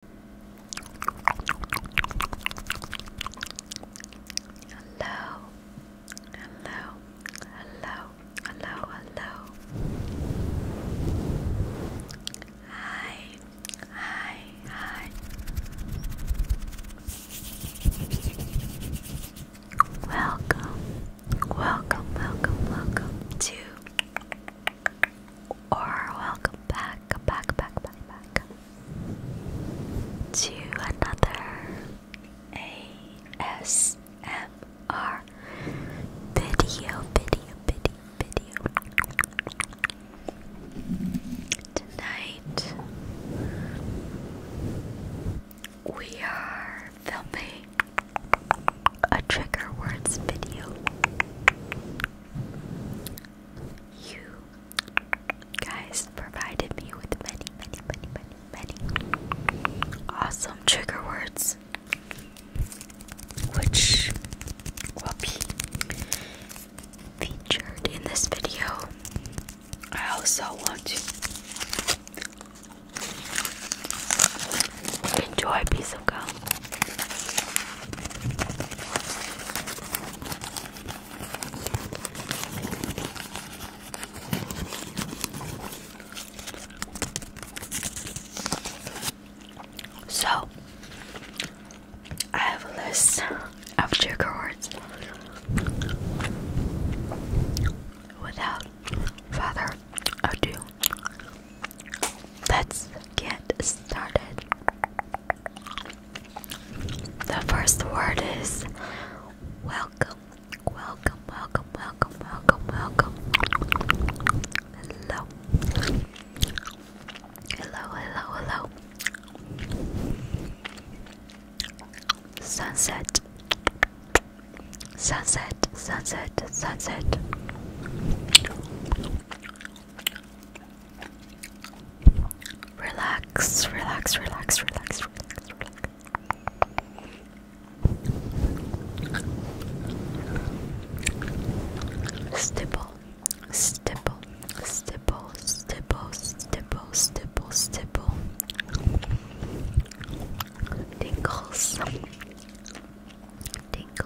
Hello, hello, hello, hello, hello. Hi, hi, hi. Welcome, welcome, welcome, welcome to or welcome back, back, back, back, back to another ASMR video, video, video, video. Tonight we are filming a trigger words video. You guys provided me with many, many, many, many, many awesome trigger words, which will be featured in this video. I also want to enjoy peace so, I have a list of trigger words. Without further ado, let's get started. The first word is welcome, welcome, welcome, welcome, welcome, welcome. Hello, hello, hello, hello. Sunset, sunset, sunset, sunset. Relax, relax, relax, relax, relax, relax. Stipple, stipple, stipple, stipple, stipple, stipple, stipple. Tingles, tingles,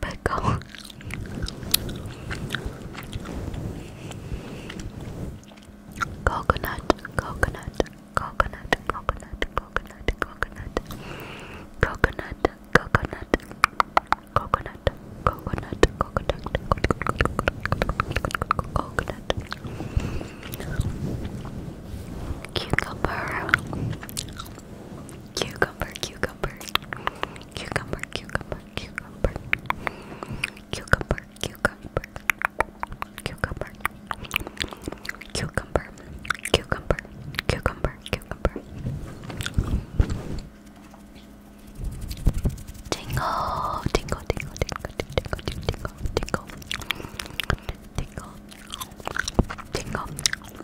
pickle. coconut, coconut, coconut, coconut, coconut, coconut, coconut, coconut, coconut, coconut, coconut, cucumber, cucumber, cucumber, cucumber, cucumber, cucumber, cucumber, cucumber, cucumber, cucumber, cucumber, cucumber, cucumber, Tingle, tingle, tingle, tingle, tingle, tingle, tingle, tingle, tingle, tingle,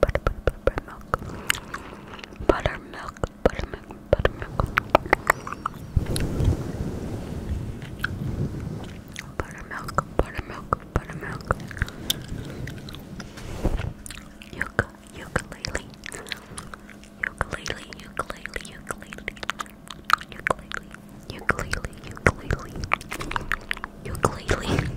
butter, butter, buttermilk, buttermilk, buttermilk, buttermilk, buttermilk, buttermilk, buttermilk, Yuka, ukulele, ukulele, ukulele, ukulele, ukulele, ukulele, ukulele, ukulele.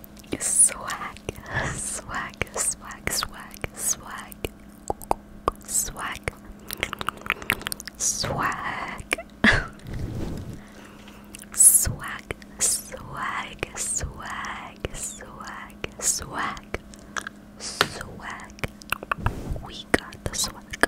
Swag, swag, swag, swag, swag, swag, swag, swag, swag, swag, swag, swag, swag. We got the swag.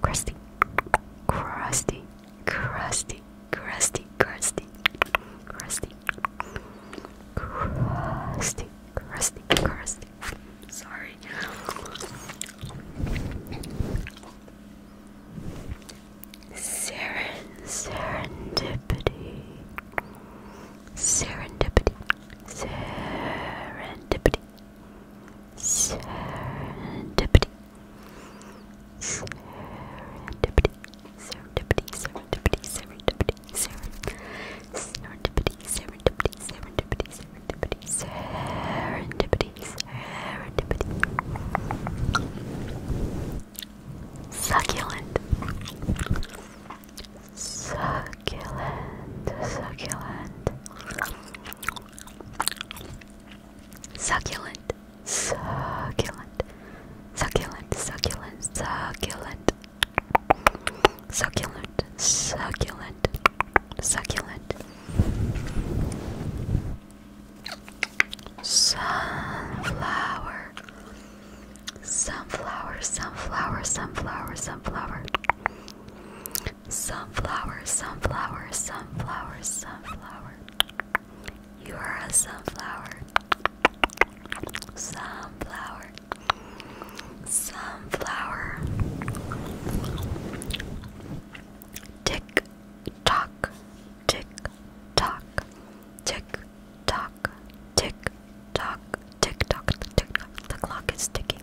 Crusty, crusty, crusty, crusty, crusty, crusty, crusty, crusty, crusty. Sorry. Seren, serendipity, serendipity, serendipity serendipity, serendipity, serendipity, serendipity, serendipity, serendipity, serendipity, serendipity, serendipity, serendipity, serendipity, succulent, succulent, succulent. Succulent, succulent, succulent, succulent, succulent, succulent, succulent, succulent, sunflower, sunflower, sunflower, sunflower, sunflower. Sunflower, sunflower, sunflower, sunflower. You are a sunflower. Sunflower. Sunflower. Tick tock. Tick tock. Tick tock. Tick tock. Tick tock. Tick tock. The clock is ticking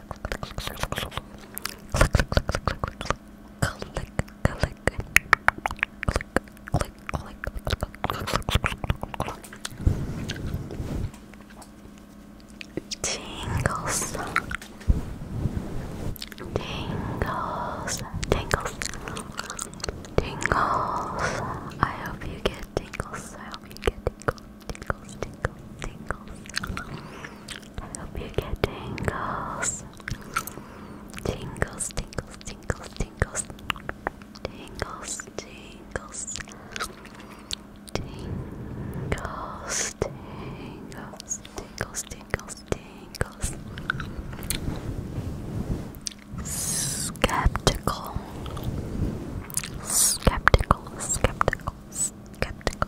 Tingles, tingles, tingles, tingles. I hope you get tingles. I hope you get tingles, tingles, tingles, tingles. Hope you get tingles. Tingles, tingles, tingles, tingles. Tingles, tingles. Tingles, tingles, tingles, tingles, tingles. Skeptical. Skeptical, skeptical, skeptical,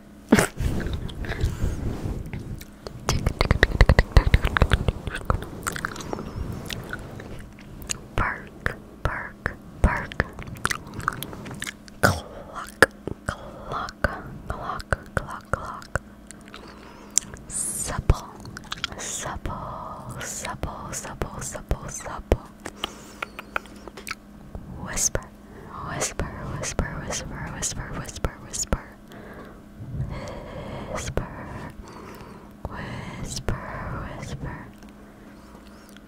Bark, bark, bark. Clock, clock, clock, clock, clock. Supple, supple, supple, supple, supple, supple. Whisper, whisper, whisper, whisper, whisper, whisper, whisper, whisper, whisper, whisper.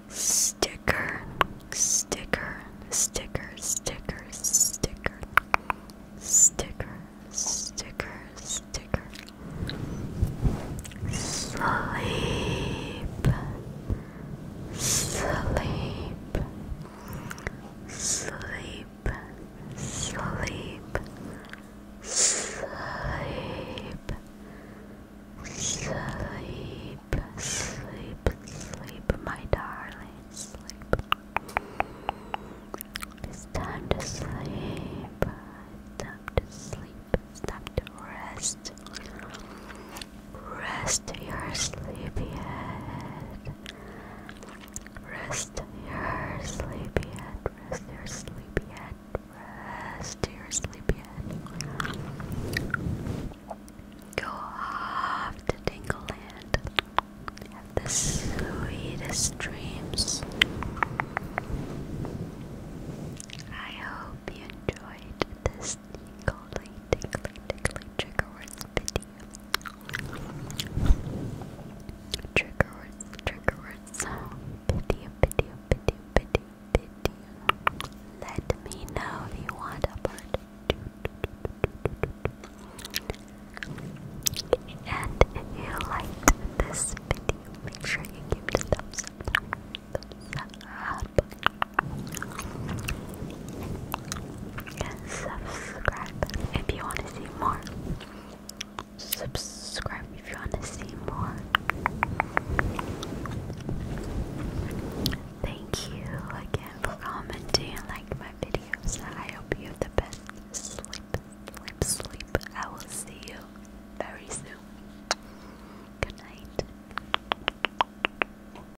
Sticker, sticker, sticker, sticker, sticker, sticker, sticker, sticker. Sleep sleep, sleep, sleep, sleep, sleep, sleep, sleep, my darling, sleep. It's time to sleep. It's time to sleep. It's time to rest. Rest your sleepy head. Rest your sleepy head. Rest your sleepy head. Rest your sleepy head. Go off to Dingle Land. Have the sweetest dreams. I hope you enjoyed this tingly, tingly, tingly, trigger words video. Trigger words, trigger words, video, video, video, video, video. Let me know if you want a part And if you liked this video, make sure you give it a Thumbs up. Subscribe if you want to see more. Subscribe if you want to see more. Thank you again for commenting and liking my videos. I hope you have the best sleep, sleep, sleep. I will see you very soon. Good night.